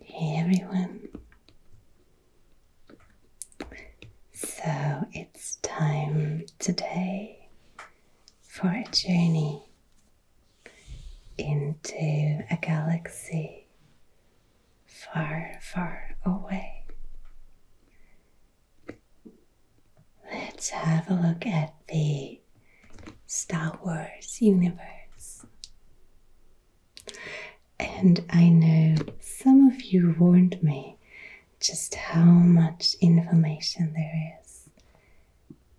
Hey everyone. So it's time today for a journey into a galaxy far, far away. Let's have a look at the Star Wars universe. And I know some of you warned me just how much information there is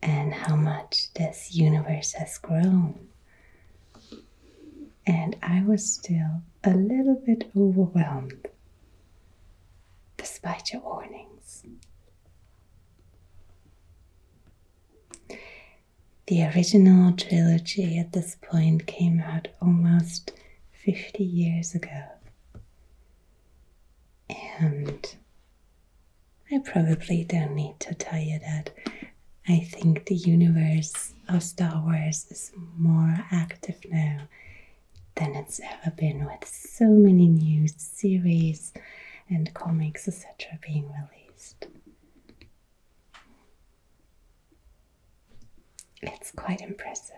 and how much this universe has grown. And I was still a little bit overwhelmed despite your warnings. The original trilogy at this point came out almost 50 years ago. And I probably don't need to tell you that I think the universe of Star Wars is more active now than it's ever been with so many new series and comics, etc., being released. It's quite impressive.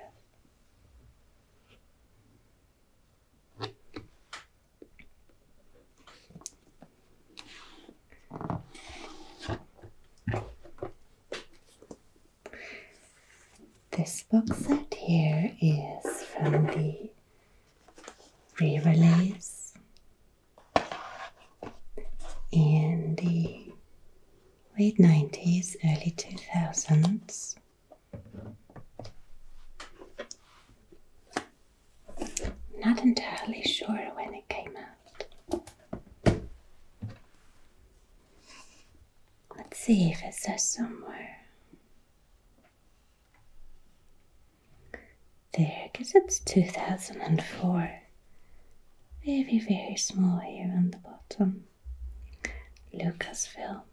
This book set here is from the re release, in the late 90s, early 2000s. Not entirely sure when it came out. Let's see if it says somewhere. There, because it's 2004. Very, very small here on the bottom. Lucas Films,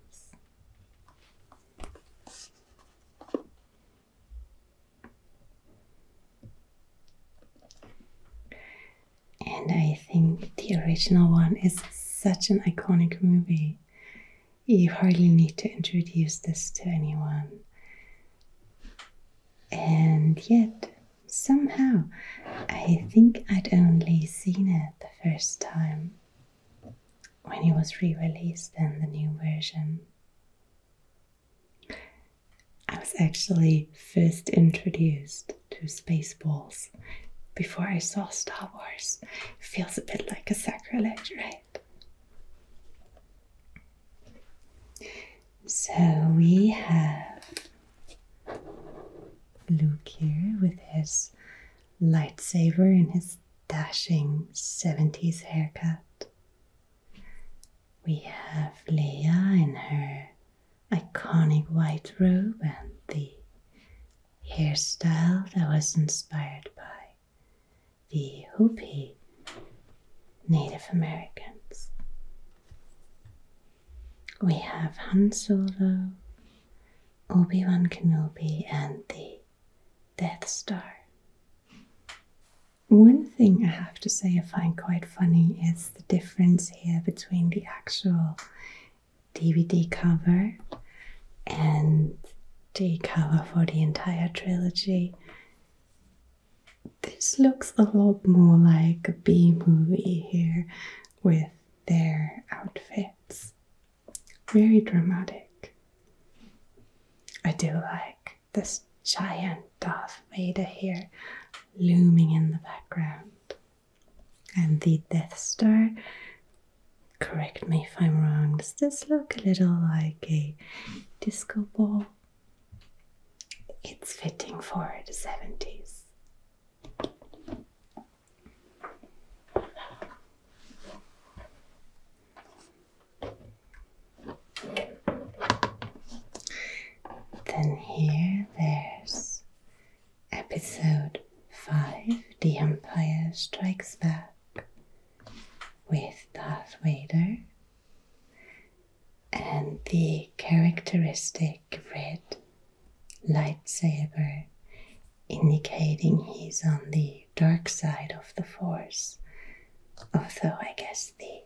And I think the original one is such an iconic movie you hardly need to introduce this to anyone. And yet, somehow, I think I'd only seen it the first time when it was re released in the new version. I was actually first introduced to Spaceballs before I saw Star Wars. Feels a bit like a sacrilege, right? So we have Luke here with his lightsaber and his dashing 70s haircut. We have Leia in her iconic white robe and the hairstyle that was inspired by the Hopi Native Americans. We have Han Solo, Obi Wan Kenobi, and the Death Star. One thing I have to say I find quite funny is the difference here between the actual DVD cover and D cover for the entire trilogy. This looks a lot more like a B movie here with their outfits. Very dramatic. I do like this giant Darth Vader here looming in the background. And the Death Star Correct me if I'm wrong. Does this look a little like a disco ball? It's fitting for the 70s. Then here there's episode 5 The Empire Strikes Back with Darth Vader and the characteristic red lightsaber indicating he's on the dark side of the force. Although I guess the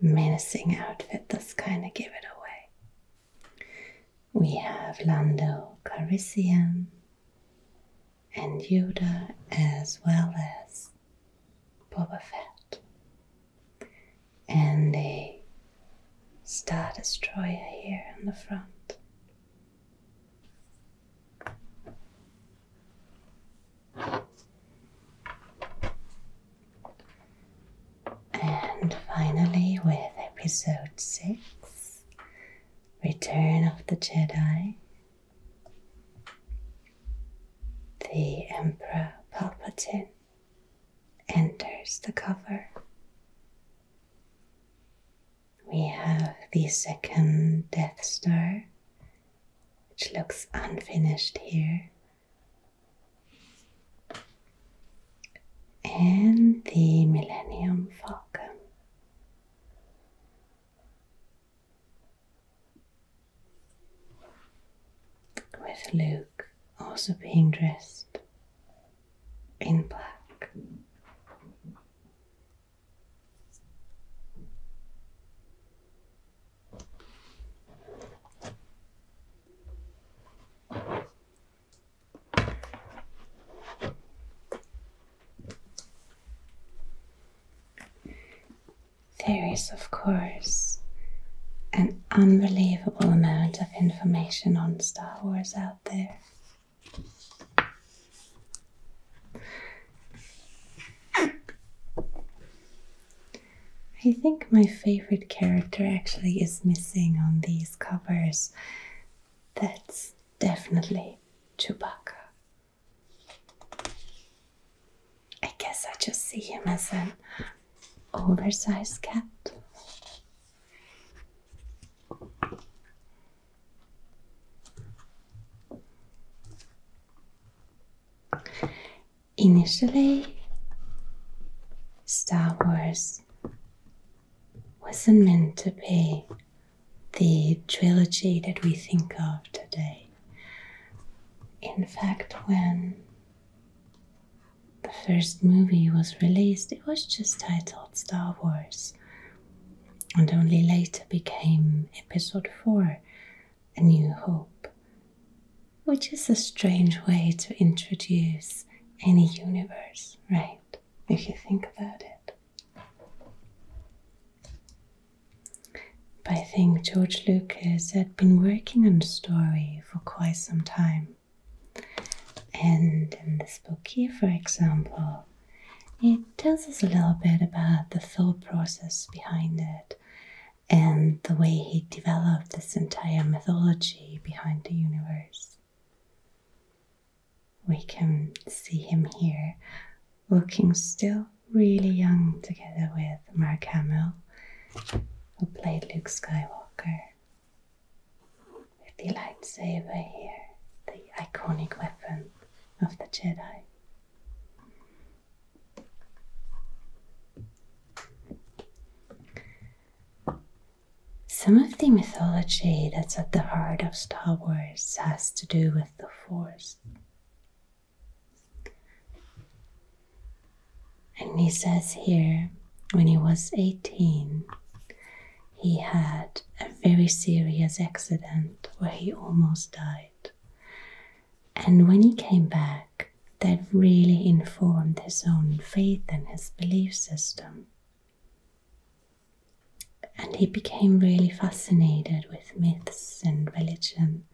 menacing outfit does kind of give it away. We have Lando Calrissian, and Yoda, as well as Boba Fett, and a Star Destroyer here in the front. And finally, with episode 6, Return of the Jedi, the Emperor Palpatine enters the cover. We have the second Death Star, which looks unfinished here. And the Millennium Falcon with Luke also being dressed in black. There is, of course, an unbelievable amount of information on Star Wars out there. I think my favorite character actually is missing on these covers. That's definitely Chewbacca. I guess I just see him as an oversized cat. Initially, Star Wars wasn't meant to be the trilogy that we think of today. In fact, when the first movie was released, it was just titled Star Wars and only later became Episode 4 A New Hope, which is a strange way to introduce any universe, right? If you think about it. But I think George Lucas had been working on the story for quite some time. And in this book here, for example, it tells us a little bit about the thought process behind it and the way he developed this entire mythology behind the universe. We can see him here looking still really young together with Mark Hamill, who played Luke Skywalker. With the lightsaber here, the iconic weapon of the Jedi. Some of the mythology that's at the heart of Star Wars has to do with the Force. And he says here, when he was 18, he had a very serious accident where he almost died. And when he came back, that really informed his own faith and his belief system and he became really fascinated with myths and religion.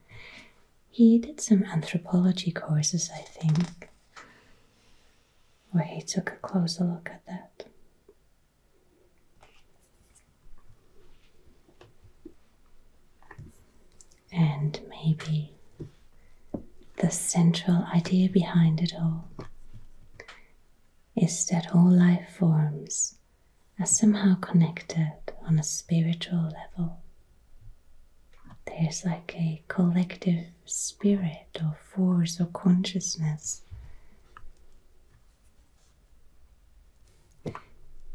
He did some anthropology courses, I think, where he took a closer look at that. And maybe the central idea behind it all is that all life forms are somehow connected on a spiritual level. There's like a collective spirit or force or consciousness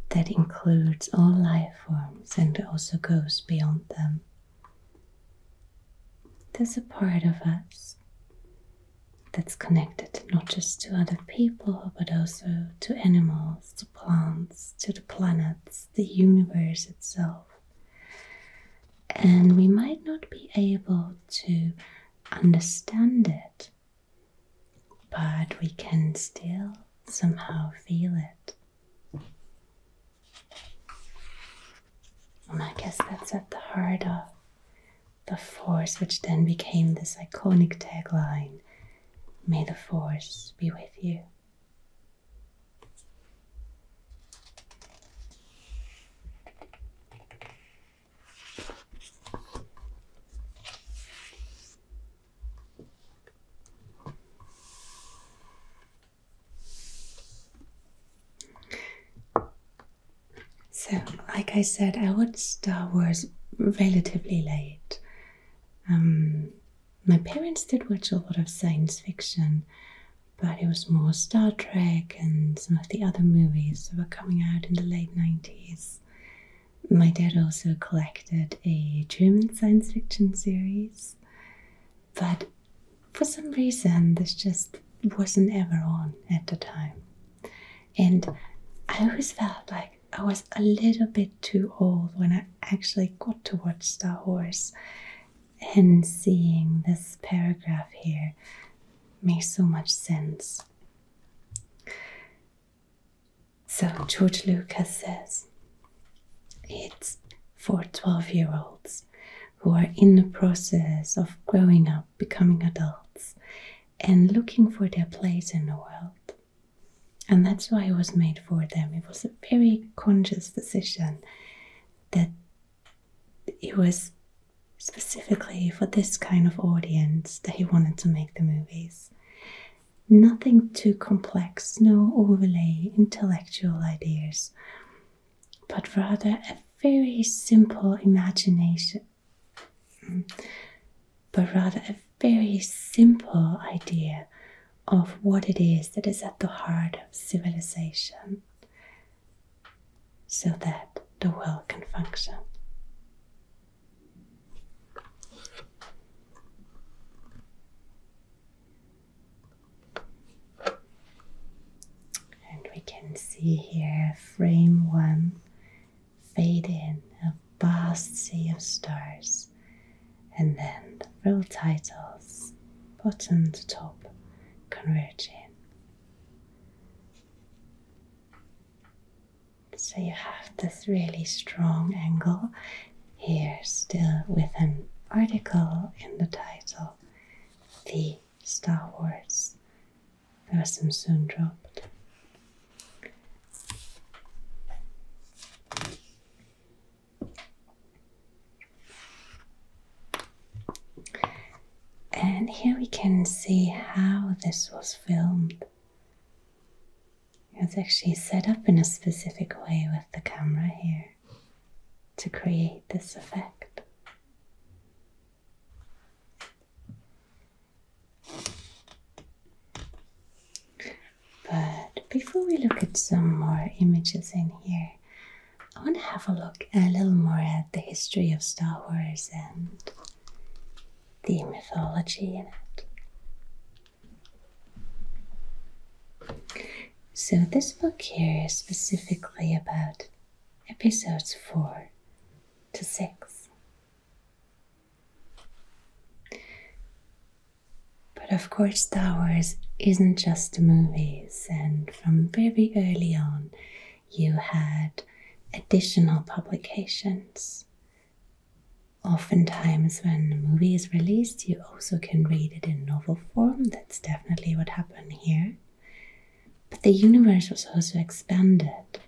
that includes all life forms and also goes beyond them. There's a part of us that's connected not just to other people but also to animals, to plants, to the planets, the universe itself. And we might not be able to understand it, but we can still somehow feel it. And I guess that's at the heart of the force, which then became this iconic tagline May the force be with you. So, like I said, I watched Star Wars relatively late. Um, my parents did watch a lot of science fiction, but it was more Star Trek and some of the other movies that were coming out in the late 90s. My dad also collected a German science fiction series, but for some reason, this just wasn't ever on at the time. And I always felt like I was a little bit too old when I actually got to watch Star Wars. And seeing this paragraph here makes so much sense. So George Lucas says it's for 12 year olds who are in the process of growing up, becoming adults, and looking for their place in the world. And that's why it was made for them. It was a very conscious decision that it was specifically for this kind of audience that he wanted to make the movies. Nothing too complex, no overly intellectual ideas, but rather a very simple imagination, but rather a very simple idea of what it is that is at the heart of civilization so that the world can function. And we can see here frame one fade in a vast sea of stars, and then the real titles bottom to top converging. So you have this really strong angle here, still with an article in the title, the Star Wars. Person soon dropped. And here we can see how this was filmed. It was actually set up in a specific way with the camera here to create this effect. But before we look at some more images in here, I want to have a look a little more at the history of Star Wars and the mythology in it. So, this book here is specifically about episodes 4 to 6. But of course, Star Wars isn't just the movies, and from very early on, you had additional publications. Oftentimes, when a movie is released, you also can read it in novel form. That's definitely what happened here. But the universe was also expanded.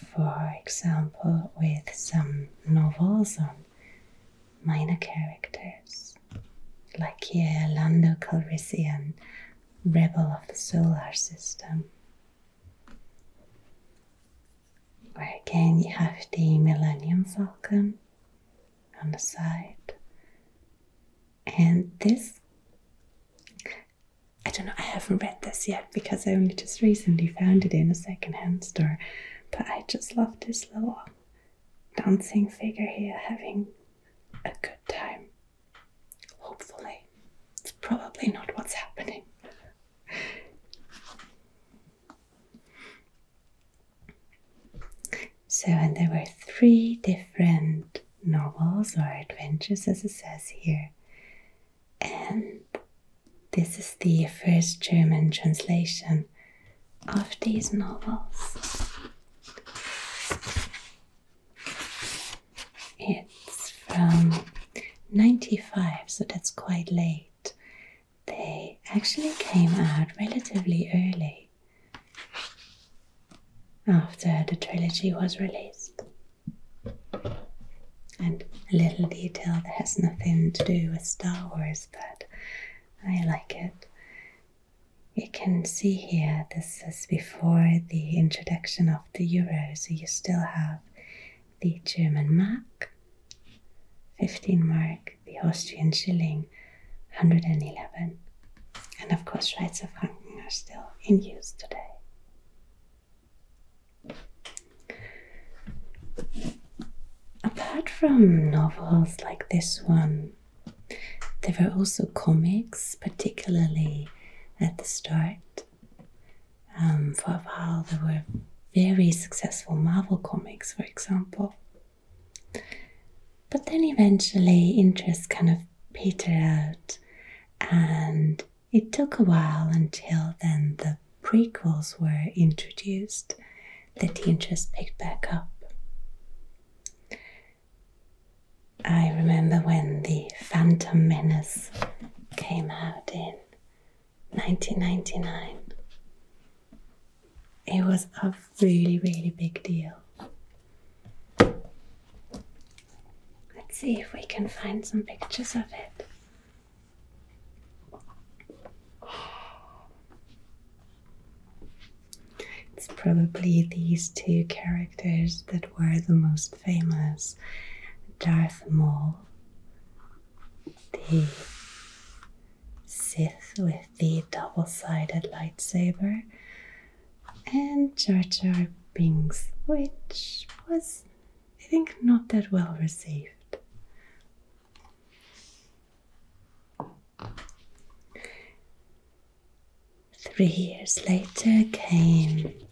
For example, with some novels on minor characters, like here Lando Calrissian, Rebel of the Solar System. Or again, you have the Millennium Falcon, on the side. And this, I don't know, I haven't read this yet because I only just recently found it in a secondhand store. But I just love this little dancing figure here having a good time. Hopefully, it's probably not what's happening. So, and there were three different novels or adventures, as it says here. And this is the first German translation of these novels. It's from 95, so that's quite late they actually came out relatively early after the trilogy was released. And a little detail that has nothing to do with Star Wars, but I like it. You can see here, this is before the introduction of the euro, so you still have the German mark, 15 mark, the Austrian shilling 111, and of course, Schweizer Franken are still in use today. Apart from novels like this one, there were also comics, particularly at the start. Um, for a while, there were very successful Marvel comics, for example, but then eventually interest kind of petered out, and it took a while until then the prequels were introduced that the interest picked back up. I remember when the Phantom Menace came out in 1999 it was a really, really big deal. Let's see if we can find some pictures of it. It's probably these two characters that were the most famous Darth Maul, the Sith with the double sided lightsaber, and Jar Jar Binks, which was, I think, not that well received. Three years later came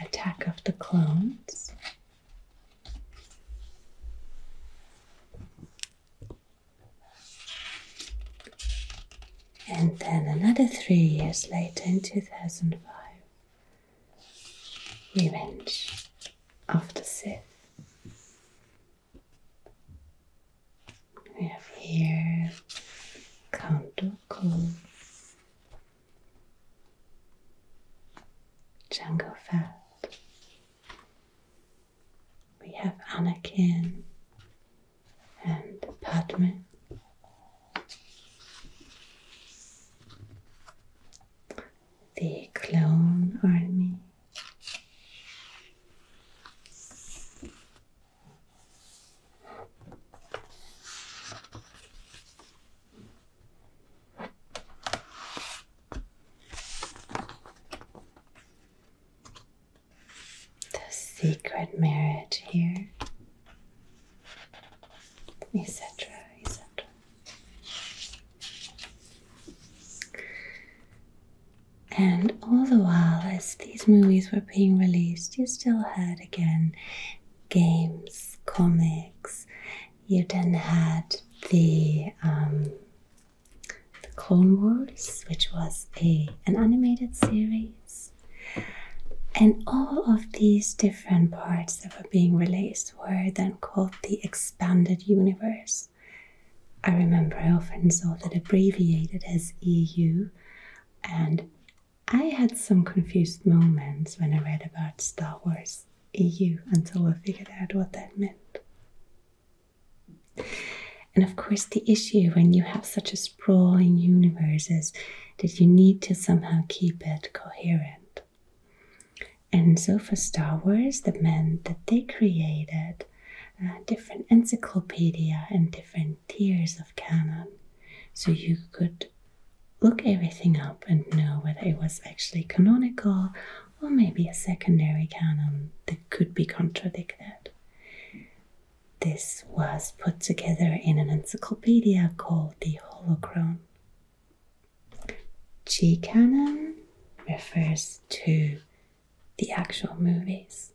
Attack of the Clones, and then another three years later, in 2005, Revenge of the Sith. We have here Count Dooku, Jango Fett, we have Anakin and Padme. The Clone Army. The secret marriage here, etc., etc. And all the while, as these movies were being released, you still had again games, comics, you then had the, um, the Clone Wars, which was a an animated series, and all of these different parts that were being released were then called the expanded universe. I remember I often saw that abbreviated as EU, and I had some confused moments when I read about Star Wars EU until we figured out what that meant. And of course, the issue when you have such a sprawling universe is that you need to somehow keep it coherent. And so for Star Wars, that meant that they created uh, different encyclopedia and different tiers of canon. So you could look everything up and know whether it was actually canonical or maybe a secondary canon that could be contradicted. This was put together in an encyclopedia called the Holocron. G canon refers to the actual movies.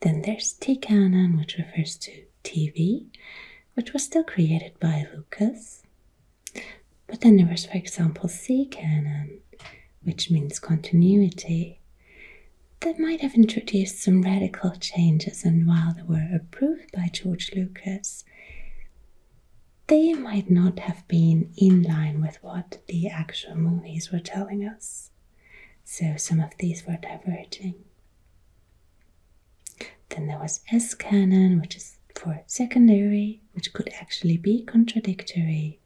Then there's T canon, which refers to TV, which was still created by Lucas. But then there was, for example, sea canon, which means continuity, that might have introduced some radical changes, and while they were approved by George Lucas, they might not have been in line with what the actual movies were telling us. So some of these were diverging. Then there was S canon, which is for secondary, which could actually be contradictory.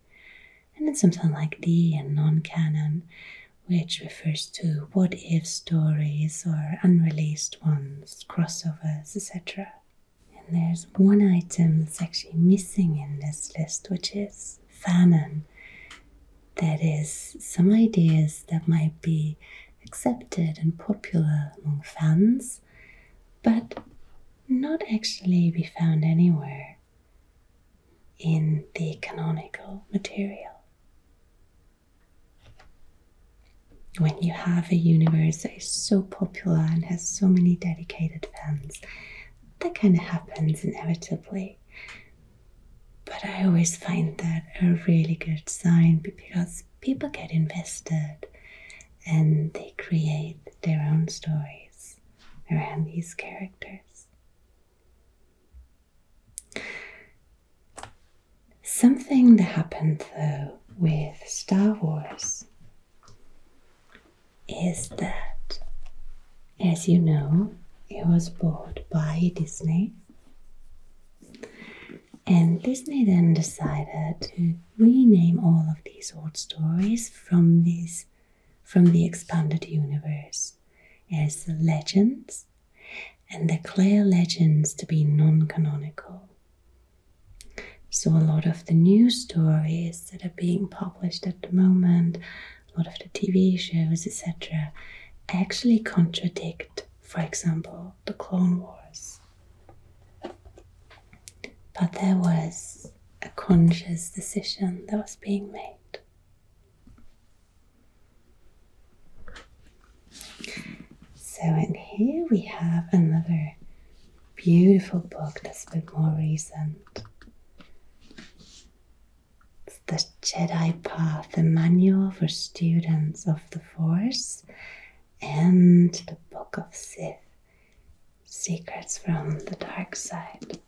And then something like D and non canon, which refers to what if stories or unreleased ones, crossovers, etc. And there's one item that's actually missing in this list, which is fanon. That is, some ideas that might be accepted and popular among fans, but not actually be found anywhere in the canonical material. When you have a universe that is so popular and has so many dedicated fans, that kind of happens inevitably. But I always find that a really good sign because people get invested and they create their own stories around these characters. Something that happened though with Star Wars is that, as you know, it was bought by Disney and Disney then decided to rename all of these old stories from these from the expanded universe as legends and declare legends to be non-canonical. So a lot of the new stories that are being published at the moment, a lot of the TV shows, etc., actually contradict, for example, the Clone Wars. But there was a conscious decision that was being made. So, and here we have another beautiful book that's a bit more recent. It's The Jedi Path, a manual for students of the Force and the Book of Sith Secrets from the Dark Side.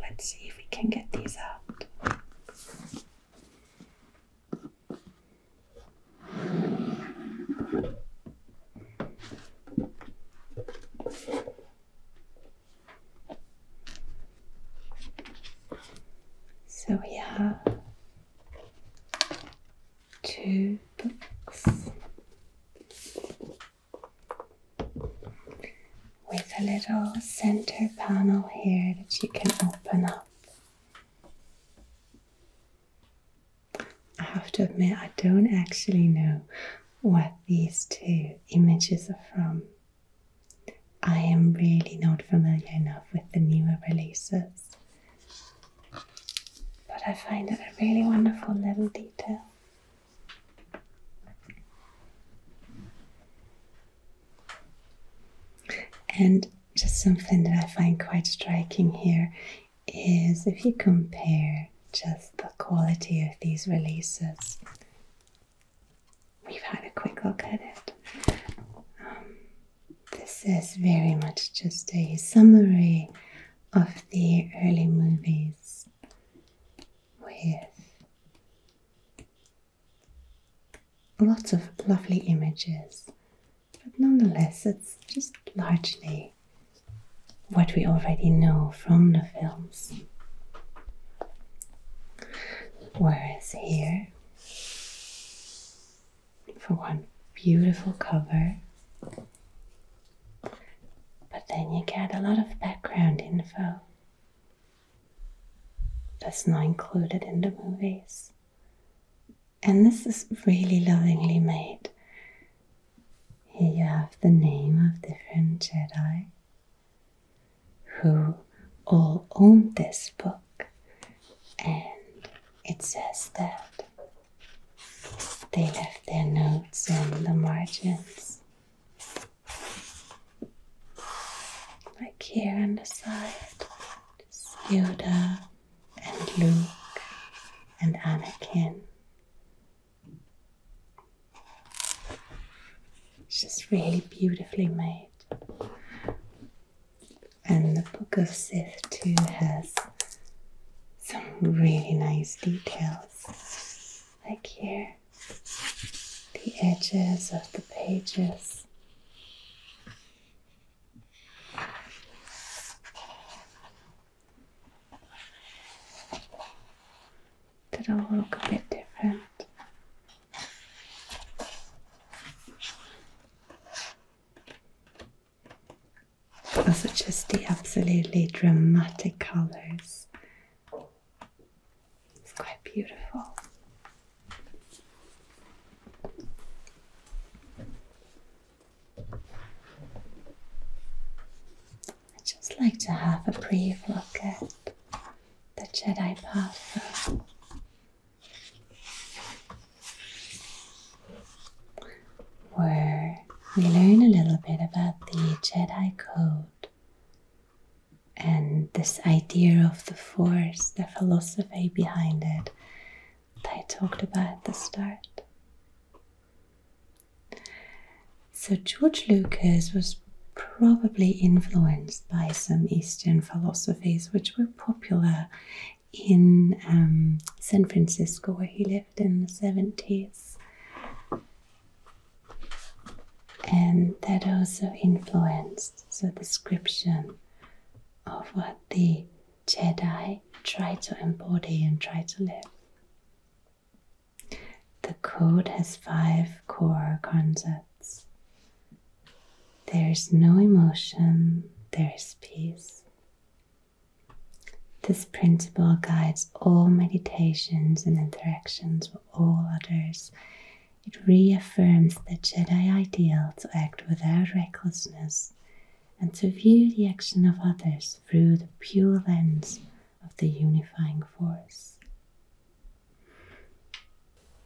let's see if we can get these out. So we have two books with a little center panel here that you can open up. I have to admit, I don't actually know what these two images are from. I am really not familiar enough with the newer releases, but I find it a really wonderful little detail. And just something that I find quite striking here is if you compare just the quality of these releases we've had a quick look at it. Um, this is very much just a summary of the early movies with lots of lovely images, but nonetheless, it's just largely what we already know from the films. Whereas here, for one beautiful cover, but then you get a lot of background info that's not included in the movies. And this is really lovingly made. Here you have the name of different Jedi who all owned this book, and it says that they left their notes in the margins, like here on the side. It's Yoda and Luke and Anakin. It's just really beautifully made. And the Book of Sith too has some really nice details, like here, the edges of the pages. That all look a bit different. Also, just the absolutely dramatic colors. It's quite beautiful. I just like to have a brief look at the Jedi path. Where we learn a little bit about the Jedi Code and this idea of the Force, the philosophy behind it that I talked about at the start. So George Lucas was probably influenced by some Eastern philosophies which were popular in um, San Francisco where he lived in the 70s. And that also influenced the description of what the Jedi try to embody and try to live. The code has five core concepts there is no emotion, there is peace. This principle guides all meditations and interactions with all others. It reaffirms the Jedi ideal to act without recklessness and to view the action of others through the pure lens of the unifying force.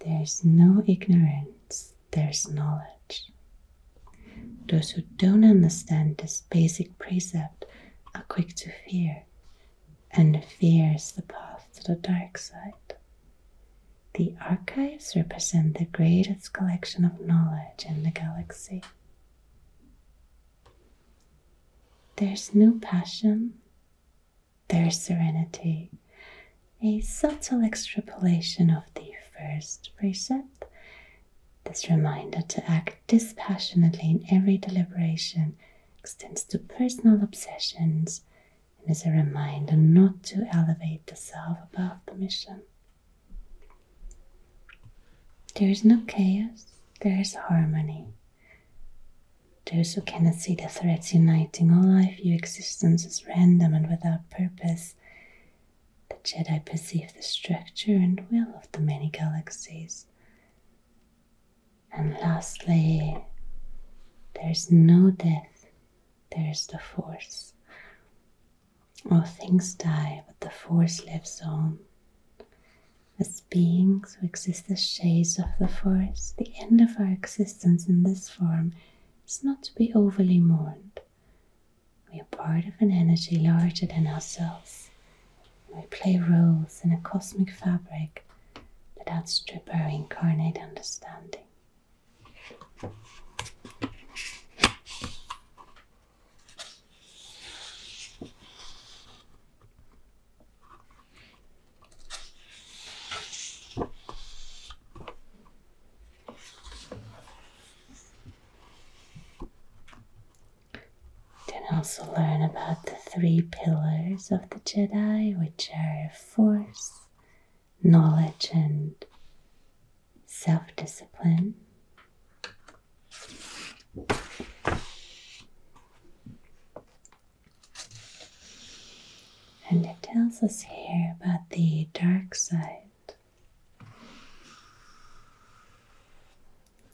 There's no ignorance, there's knowledge. Those who don't understand this basic precept are quick to fear, and fear is the path to the dark side. The archives represent the greatest collection of knowledge in the galaxy. There's no passion, there is serenity, a subtle extrapolation of the first precept. This reminder to act dispassionately in every deliberation extends to personal obsessions and is a reminder not to elevate the self above the mission. There is no chaos, there is harmony. Those who cannot see the threads uniting all life view existence as random and without purpose. The Jedi perceive the structure and will of the many galaxies. And lastly, there is no death, there is the Force. All things die, but the Force lives on. As beings who exist as shades of the forest, the end of our existence in this form is not to be overly mourned. We are part of an energy larger than ourselves, we play roles in a cosmic fabric that outstrip our incarnate understanding. You can also learn about the three pillars of the Jedi, which are force, knowledge, and self discipline. And it tells us here about the dark side.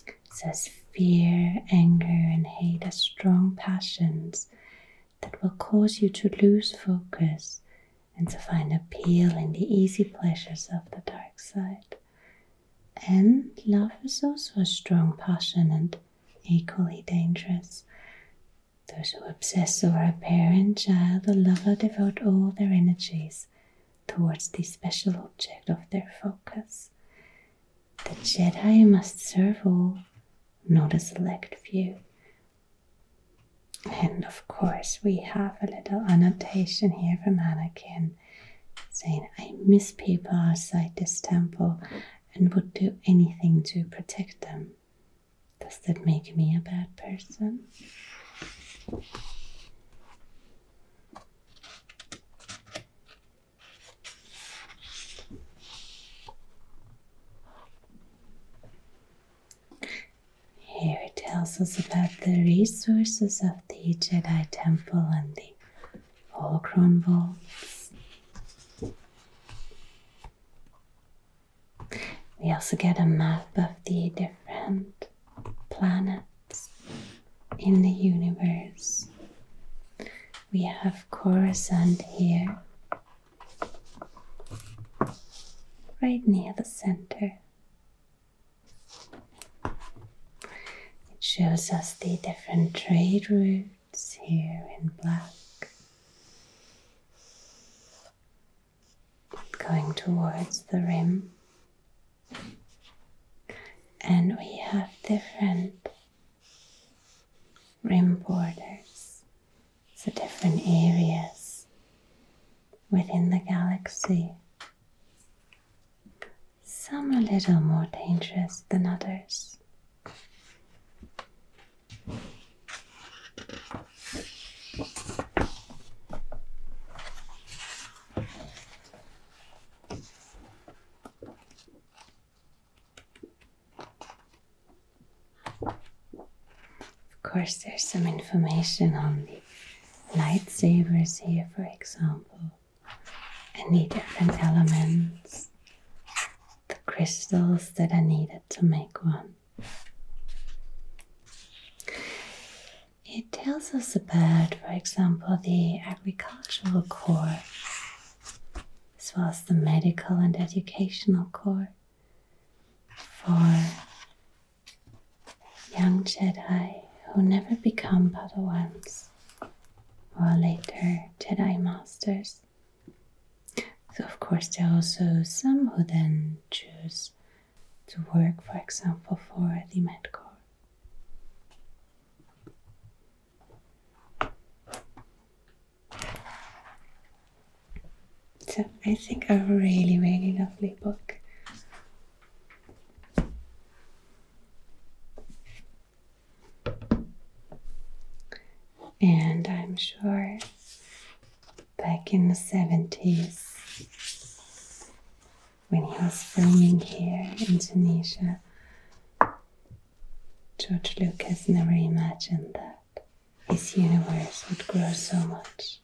It says fear, anger, and hate are strong passions that will cause you to lose focus and to find appeal in the easy pleasures of the dark side. And love is also a strong passion and Equally dangerous. Those who obsess over a parent, child, or lover devote all their energies towards the special object of their focus. The Jedi must serve all, not a select few. And of course, we have a little annotation here from Anakin saying, I miss people outside this temple and would do anything to protect them. Does that make me a bad person? Here it tells us about the resources of the Jedi Temple and the holocron vaults. We also get a map of the different planets in the universe. We have Coruscant here, right near the center. It shows us the different trade routes lights here in black. Going towards the rim, and we have different rim borders, so different areas within the galaxy. Some a little more dangerous than others. Of course, there's some information on the lightsabers here, for example any different elements, the crystals that are needed to make one. It tells us about, for example, the agricultural core, as well as the medical and educational core for young Jedi who never become Padawans or later Jedi Masters. So, of course, there are also some who then choose to work, for example, for the Med Corps. So, I think a really, really lovely book. And I'm sure back in the 70s, when he was filming here in Tunisia, George Lucas never imagined that his universe would grow so much.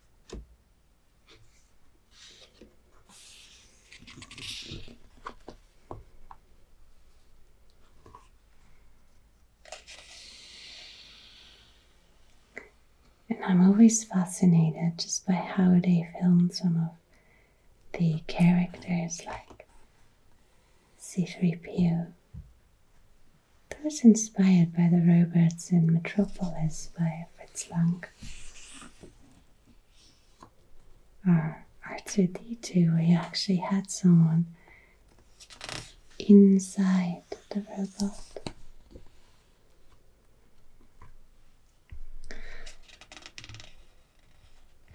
And I'm always fascinated just by how they filmed some of the characters like C3PO. That was inspired by the robots in Metropolis by Fritz Lang our R2D2, we actually had someone inside the robot.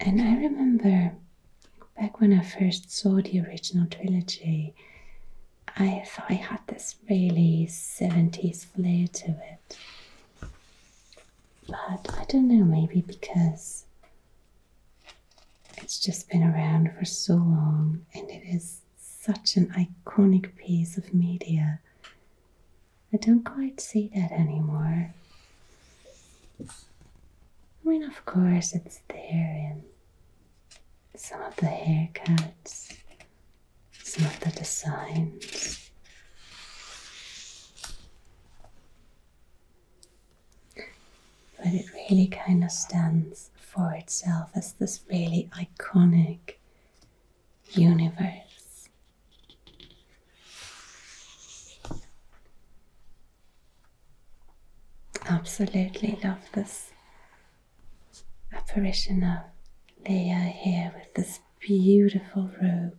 And I remember back when I first saw the original trilogy, I thought I had this really 70s flair to it. But I don't know, maybe because it's just been around for so long and it is such an iconic piece of media. I don't quite see that anymore. I mean, of course, it's there in some of the haircuts, some of the designs. But it really kind of stands for itself as this really iconic universe. Absolutely love this apparition of Leia here with this beautiful robe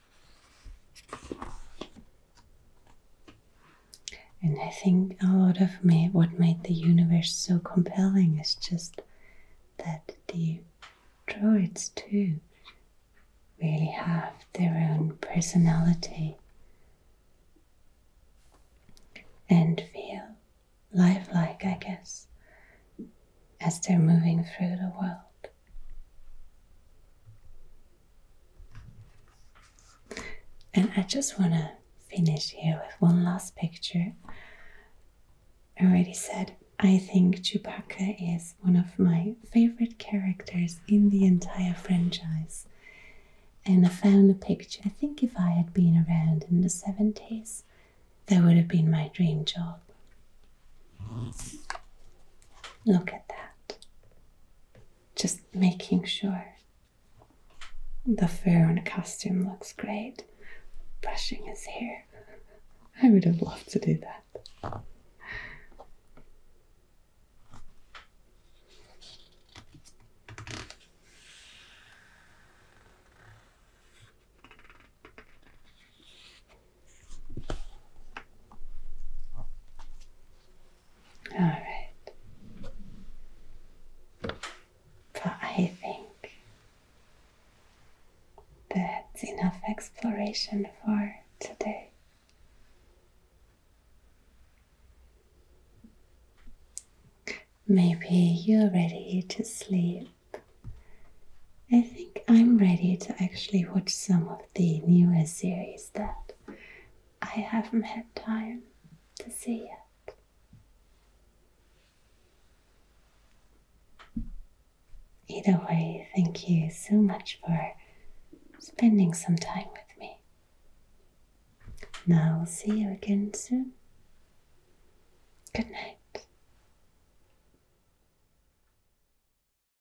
And I think a lot of me, what made the universe so compelling is just that the droids too really have their own personality and feel lifelike, I guess, as they're moving through the world. And I just want to finish here with one last picture. I already said I think Chewbacca is one of my favorite characters in the entire franchise. And I found a picture. I think if I had been around in the 70s, that would have been my dream job. Look at that. Just making sure the fur on the costume looks great. Brushing his hair. I would have loved to do that. All right. But I think that's enough exploration for today. Maybe you're ready to sleep. I think I'm ready to actually watch some of the newest series that I haven't had time to see yet. Either way, thank you so much for spending some time with me. Now I'll see you again soon. Good night.